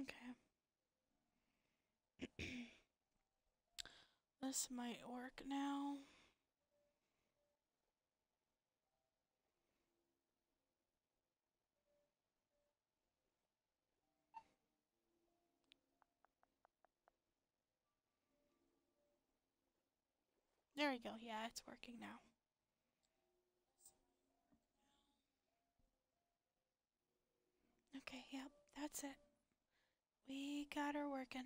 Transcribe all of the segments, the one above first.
Okay. this might work now. There we go. Yeah, it's working now. Okay, yep, that's it. We got her working.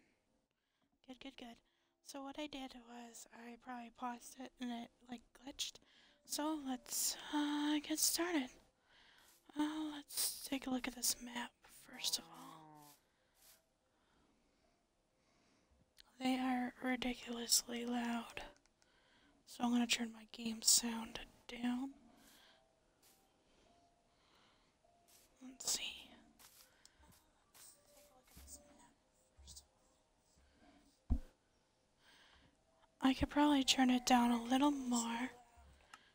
Good, good, good. So what I did was I probably paused it and it like glitched. So let's uh, get started. Uh, let's take a look at this map first of all. They are ridiculously loud. So I'm going to turn my game sound down. Let's see. I could probably turn it down a little more.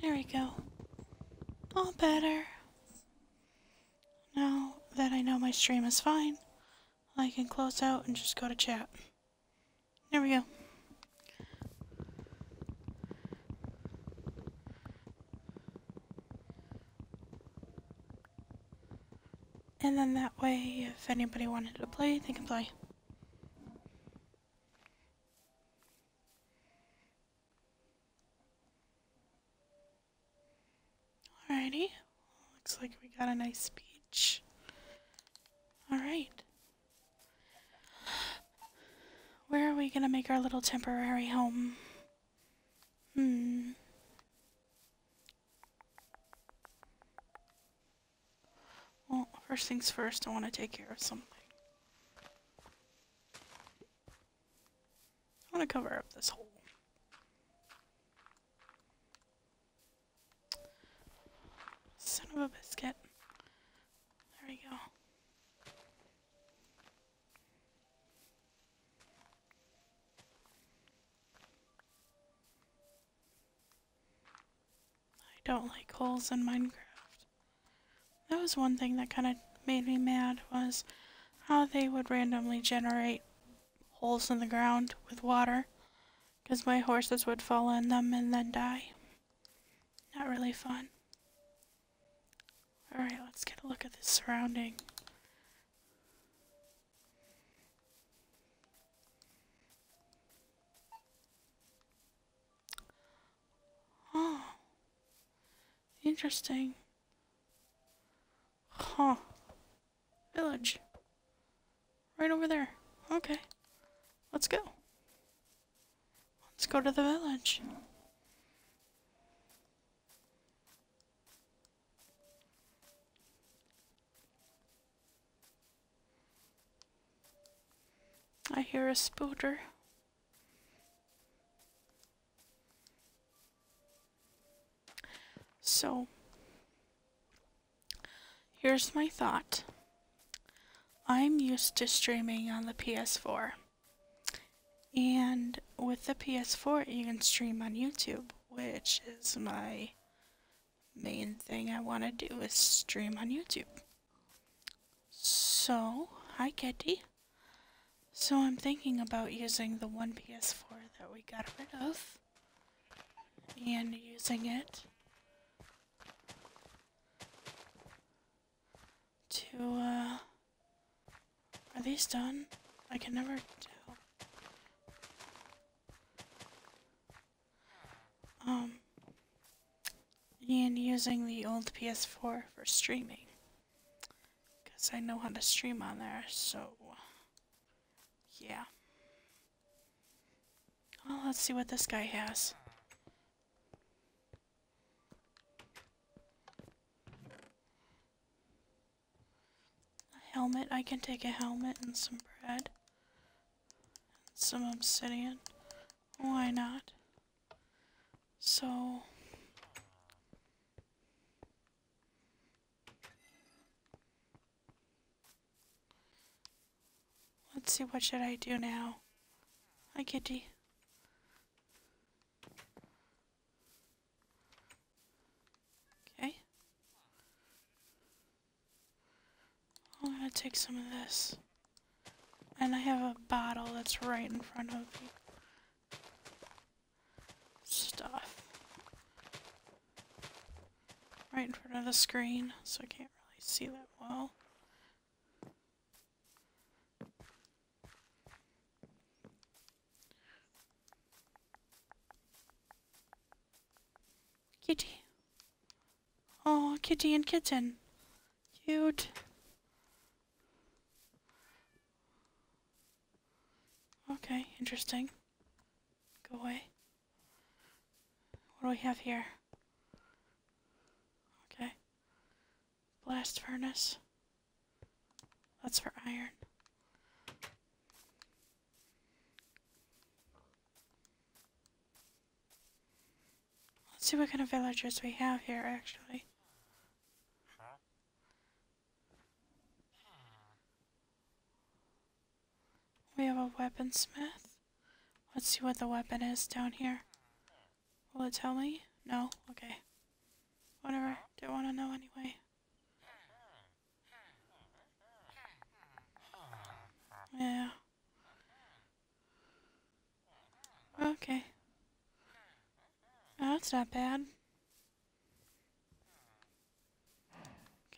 There we go. All better. Now that I know my stream is fine, I can close out and just go to chat. There we go. And then that way, if anybody wanted to play, they can play. Alrighty. Looks like we got a nice beach. Alright. Where are we gonna make our little temporary home? Hmm. Well, first things first, I want to take care of something. I want to cover up this hole. Son of a biscuit. There we go. I don't like holes in Minecraft. That was one thing that kind of made me mad was how they would randomly generate holes in the ground with water because my horses would fall in them and then die. Not really fun. Alright, let's get a look at the surrounding. Oh, interesting. Huh. Village. Right over there. Okay. Let's go. Let's go to the village. I hear a spooter. So, here's my thought. I'm used to streaming on the PS4. And with the PS4, you can stream on YouTube which is my main thing I want to do is stream on YouTube. So, hi Kitty. So I'm thinking about using the one PS4 that we got rid of and using it to uh, are these done? I can never tell. Um, and using the old PS4 for streaming. Because I know how to stream on there, so yeah. Well, let's see what this guy has. A helmet. I can take a helmet and some bread. And some obsidian. Why not? So... Let's see, what should I do now? Hi, kitty. Okay. I'm gonna take some of this. And I have a bottle that's right in front of me. Stuff. Right in front of the screen, so I can't really see that well. Kitty. Oh, kitty and kitten. Cute. Okay, interesting. Go away. What do we have here? Okay. Blast furnace. That's for iron. Let's see what kind of villagers we have here, actually. We have a weaponsmith. Let's see what the weapon is down here. Will it tell me? No? Okay. Whatever. Don't want to know anyway. Yeah. Okay. that's not bad.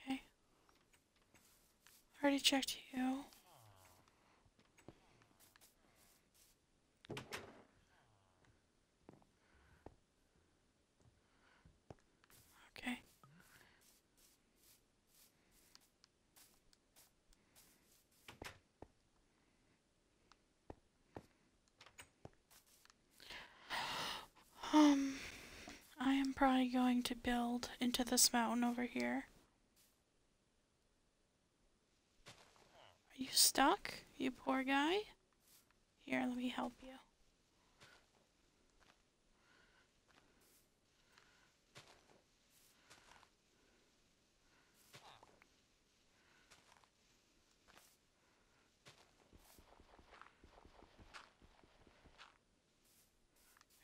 Okay. Already checked you. Okay. Um, I am probably going to build into this mountain over here. Are you stuck, you poor guy? Here, let me help you.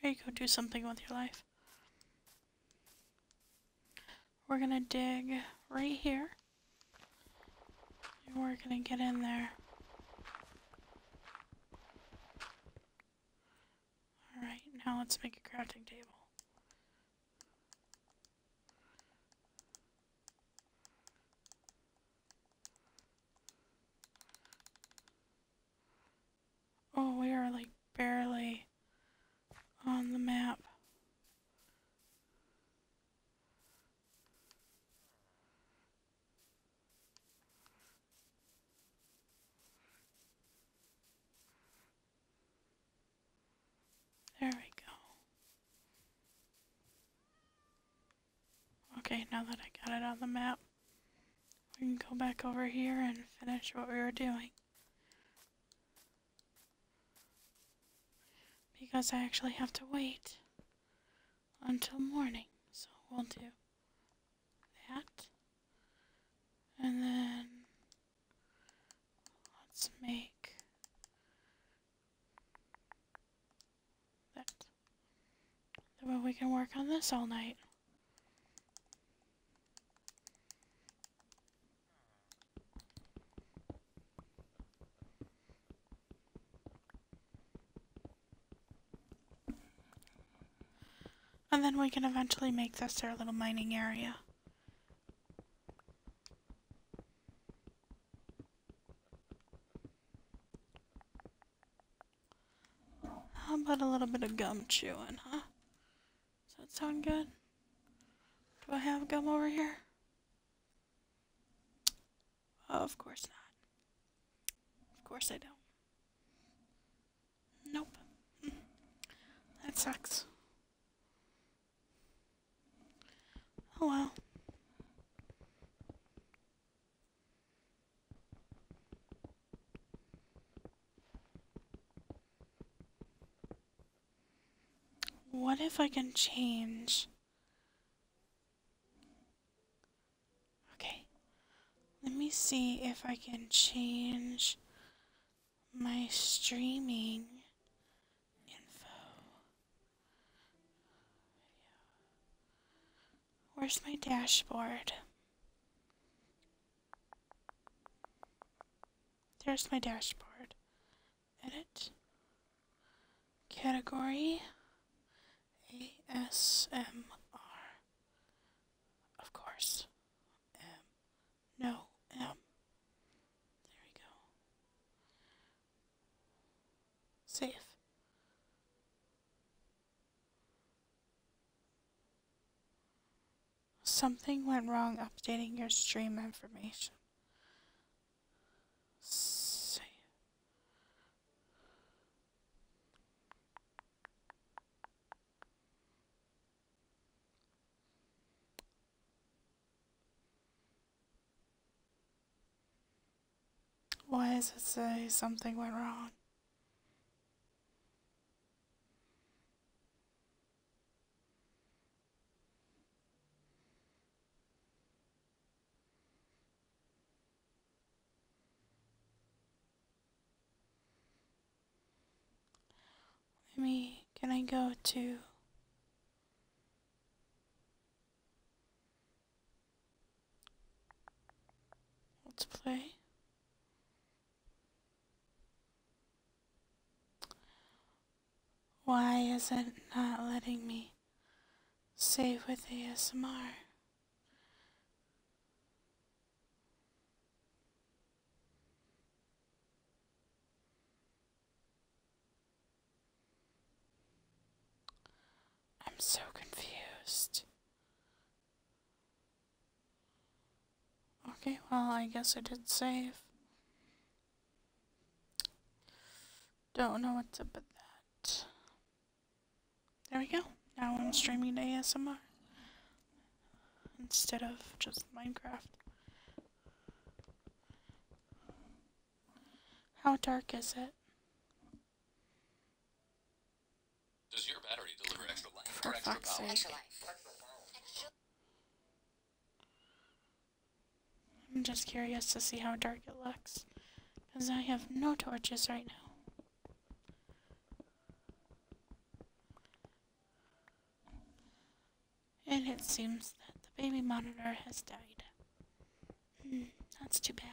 There you go, do something with your life. We're gonna dig right here we are going to get in there. Alright, now let's make a crafting table. Oh, we are like barely on the map. There we go. Okay, now that I got it on the map, we can go back over here and finish what we were doing. Because I actually have to wait until morning. So we'll do that. And then let's make that. That we can work on this all night. And then we can eventually make this our little mining area. How about a little bit of gum chewing, huh? Does that sound good? Do I have gum over here? Oh, of course not. Of course I don't. Nope. Mm-hmm. that sucks. Oh well. What if I can change? Okay. Let me see if I can change my streaming info. Where's my dashboard? There's my dashboard edit category ASMR. Of course. M. No, M. There we go. Save. Something went wrong updating your stream information see. Why does it say something went wrong? Let me, can I go to Let's play. Why is it not letting me save with ASMR? I'm so confused. Okay, well, I guess I did save. Don't know what's up with that. There we go. Now I'm streaming to ASMR instead of just Minecraft. How dark is it? Does your battery deliver extra life For or extra power? Extra life. I'm just curious to see how dark it looks, because I have no torches right now. And it seems that the baby monitor has died. Hmm, that's too bad.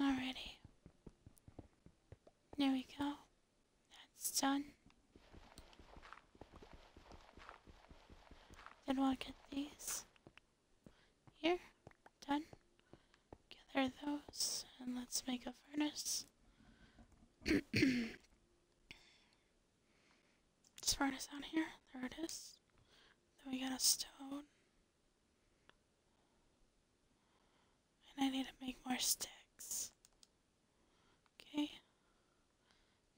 Alrighty. There we go. That's done. Then we'll get these here. Done. Gather those and let's make a furnace. this furnace out here. There it is. Then we got a stone. And I need to make more sticks. Okay.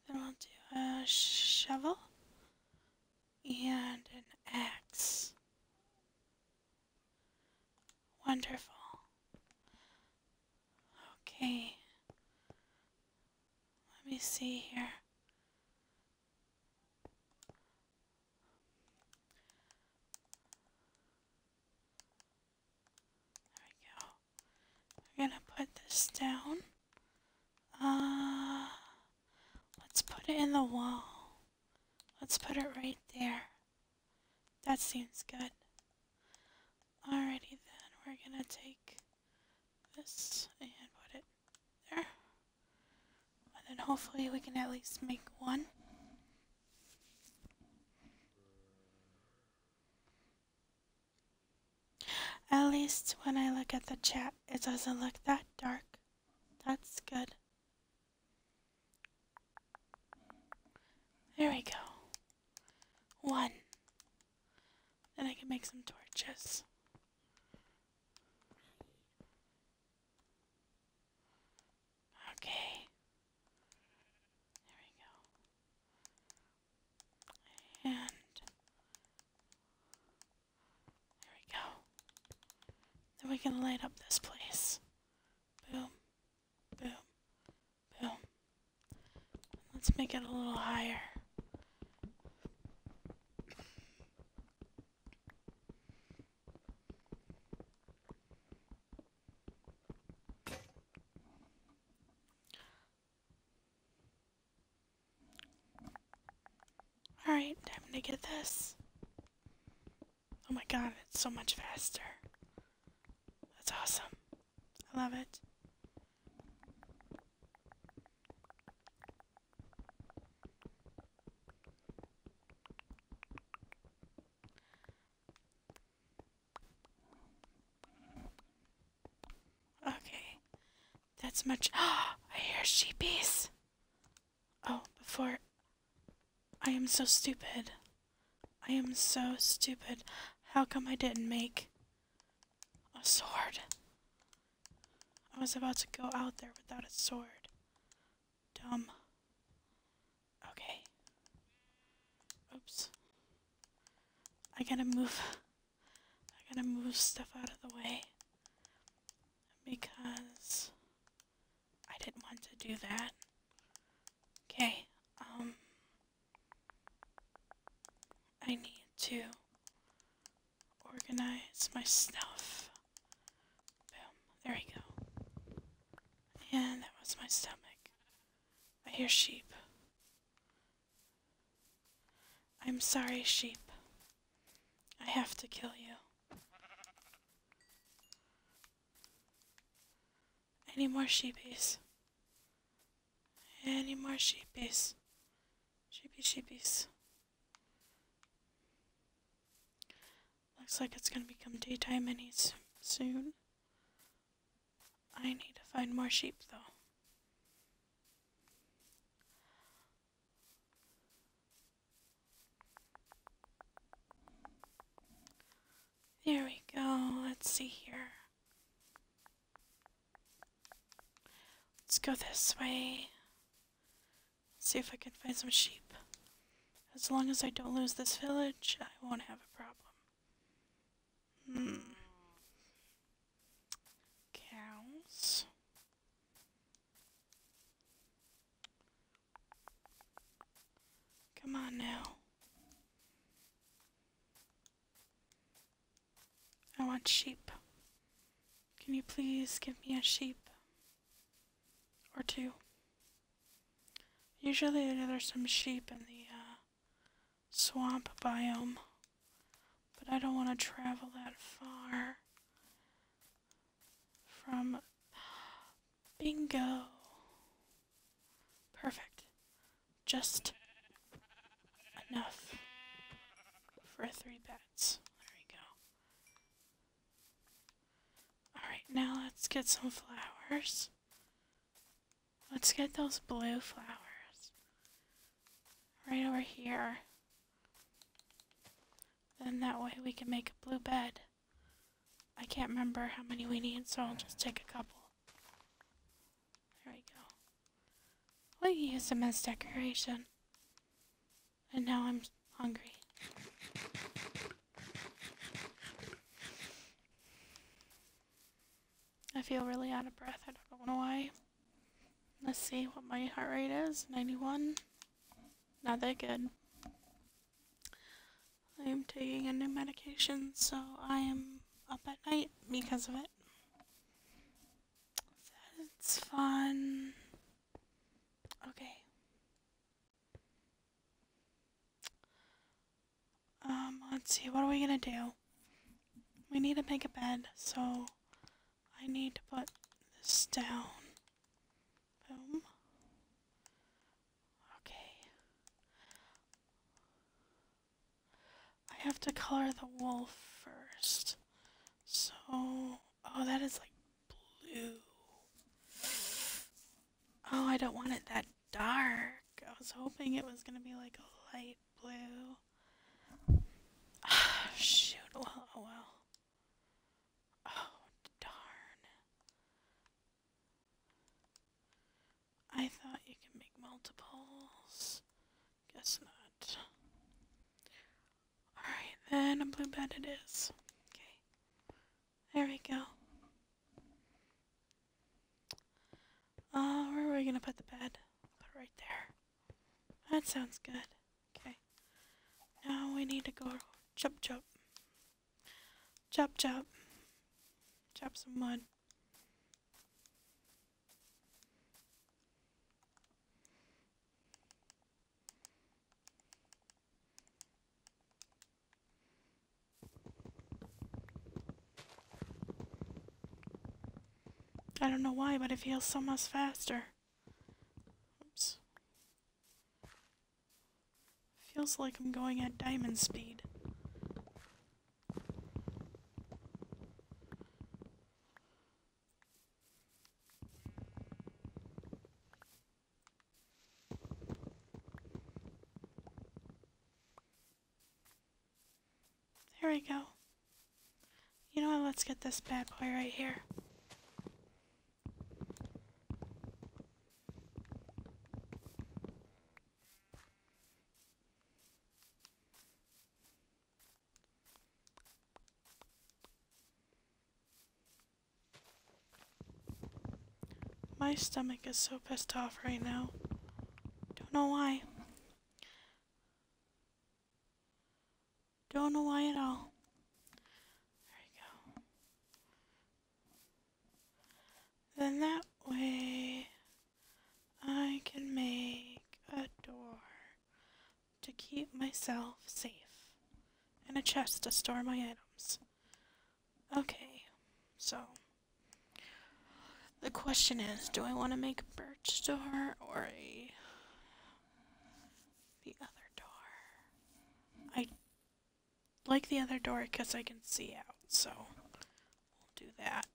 Then i will do a shovel and an axe. Wonderful. Okay. Let me see here. There we go. We're gonna put this down. Uh, let's put it in the wall. Let's put it right there. That seems good. Alrighty then, we're gonna take this and put it there. And then hopefully we can at least make one. At least when I look at the chat, it doesn't look that dark. That's good. There we go. One. Then I can make some torches. Okay. There we go. And there we go. Then we can light up this place. Boom. Boom. Boom. Let's make it a little higher. Alright, time to get this. Oh my god, it's so much faster. That's awesome. I love it. Okay. That's much. Ah, I hear sheepies. Oh, before. I am so stupid. I am so stupid. How come I didn't make a sword? I was about to go out there without a sword. Dumb. Okay. Oops. I gotta move. I gotta move stuff out of the way. Because I didn't want to do that. Okay, um. I need to organize my stuff. Boom. There we go. And that was my stomach. I hear sheep. I'm sorry, sheep. I have to kill you. Any more sheepies? Any more sheepies? Sheepy sheepies. Looks like it's gonna become daytime any soon. I need to find more sheep though. There we go. Let's see here. Let's go this way. See if I can find some sheep. As long as I don't lose this village, I won't have a problem. Hmm. Cows. Come on now. I want sheep. Can you please give me a sheep? Or two. Usually there's some sheep in the uh, swamp biome, but I don't want to travel that far from... Bingo! Perfect. Just enough for a three-bet. There we go. Alright, now let's get some flowers. Let's get those blue flowers. Right over here. Then that way we can make a blue bed. I can't remember how many we need, so I'll just take a couple. There we go. I use them as decoration. And now I'm hungry. I feel really out of breath. I don't know why. Let's see what my heart rate is. 91. Not that good. I am taking a new medication, so I am up at night because of it. That's fun. Okay. Um, let's see, what are we gonna do? We need to make a bed, so I need to put this down. Boom. Okay. I have to color the wool first. So, oh, that is like blue. Oh, I don't want it that dark. I was hoping it was going to be like a light blue. Ah, shoot. Well, oh, oh, well. Oh, darn. I thought you could make multiples. Guess not. Alright, then a blue bed it is. Okay. There we go. Uh, where are we gonna put the bed? Put it right there. That sounds good. Okay. Now we need to go chop chop. Chop chop. Chop some wood. I don't know why, but it feels so much faster. Oops. Feels like I'm going at diamond speed. There we go. You know what? Let's get this bad boy right here. My stomach is so pissed off right now. Don't know why. Don't know why at all. There we go. Then that way. I can make a door to keep myself safe and a chest to store my items. Okay, so the question is do I want to make a birch door or the other door? I like the other door because I can see out, so we'll do that.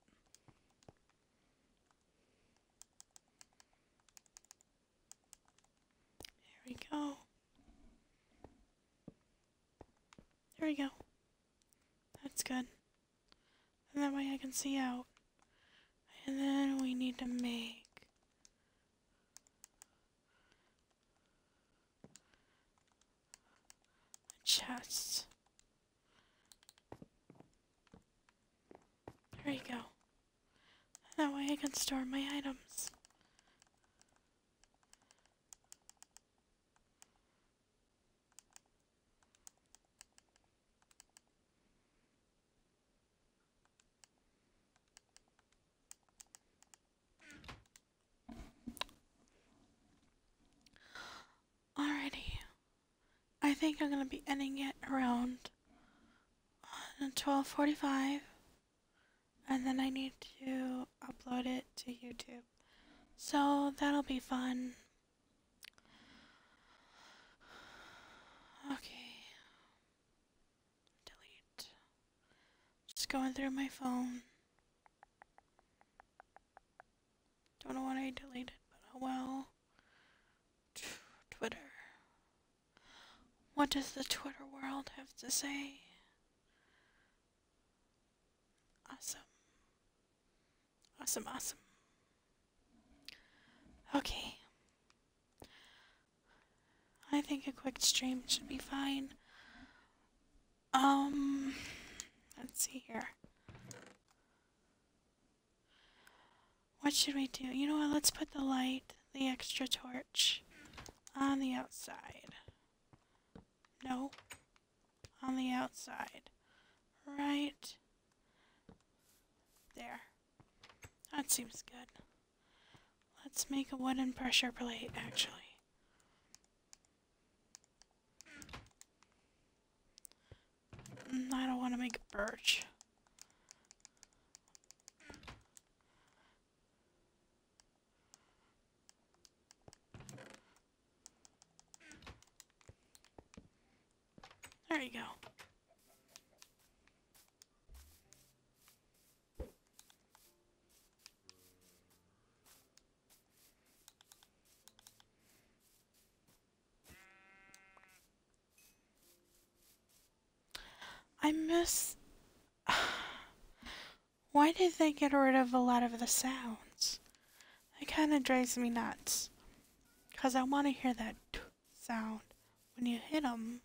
There we go. There we go. That's good. And that way I can see out. And then we need to make a chest. There you go. That way I can store my items. Alrighty. I think I'm going to be ending it around 12.45 uh, and then I need to upload it to YouTube. So that'll be fun. Okay. Delete. Just going through my phone. Don't know what I deleted, but oh well. Twitter. What does the Twitter world have to say? Awesome. Awesome, awesome. Okay. I think a quick stream should be fine. Um, let's see here. What should we do? You know what? Let's put the light, the extra torch, on the outside. No. On the outside. Right there. That seems good. Let's make a wooden pressure plate, actually. Mm, I don't want to make birch. There you go. I miss... Why did they get rid of a lot of the sounds? It kind of drives me nuts. Because I want to hear that sound when you hit them.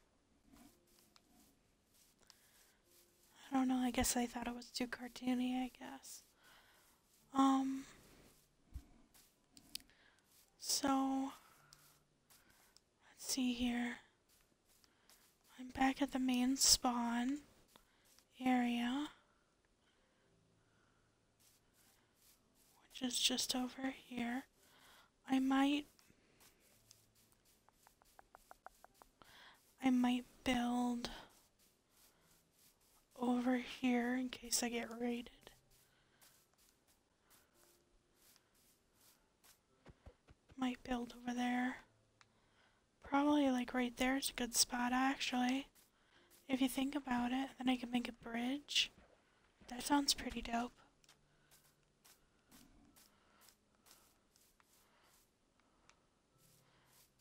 I don't know, I guess they thought it was too cartoony, I guess. Um, so, let's see here. I'm back at the main spawn area, which is just over here. I might I might build over here in case I get raided. Might build over there. Probably like right there is a good spot actually. If you think about it, then I can make a bridge. That sounds pretty dope.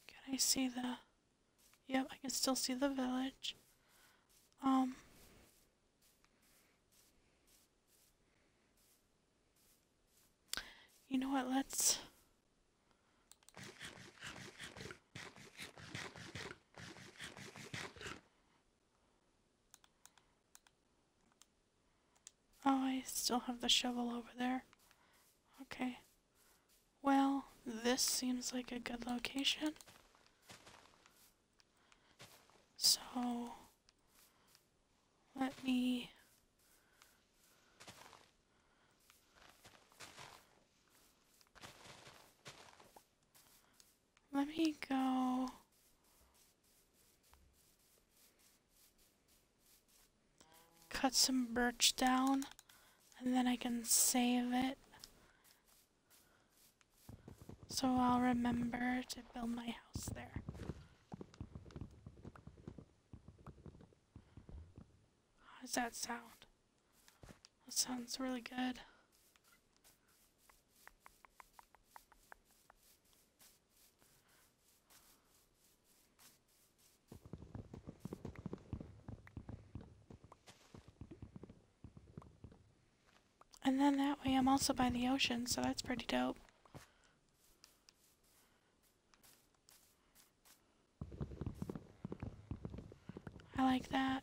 Can I see the Yep, I can still see the village. Um. You know what, let's... Oh, I still have the shovel over there. Okay. Well, this seems like a good location. So, let me Let me go. Cut some birch down and then I can save it. So I'll remember to build my house there. How does that sound? That sounds really good. And then that way I'm also by the ocean, so that's pretty dope. I like that.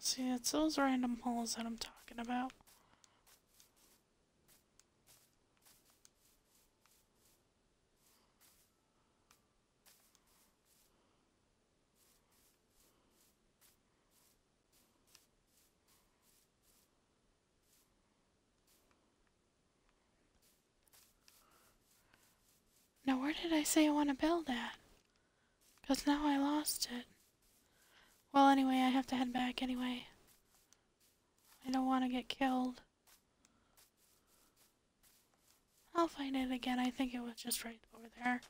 See, it's those random holes that I'm talking about. Now where did I say I want to build at? Because now I lost it. Well, anyway, I have to head back anyway. I don't want to get killed. I'll find it again. I think it was just right over there.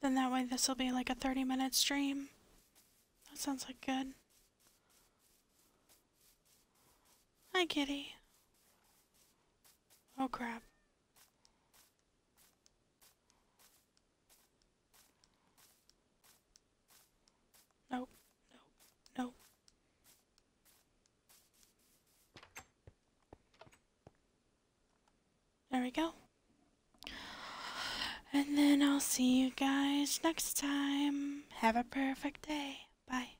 Then that way this will be like a 30 minute stream. That sounds like good. Hi, kitty. Oh crap. No, no, no. There we go. And then I'll see you guys next time. Have a perfect day. Bye.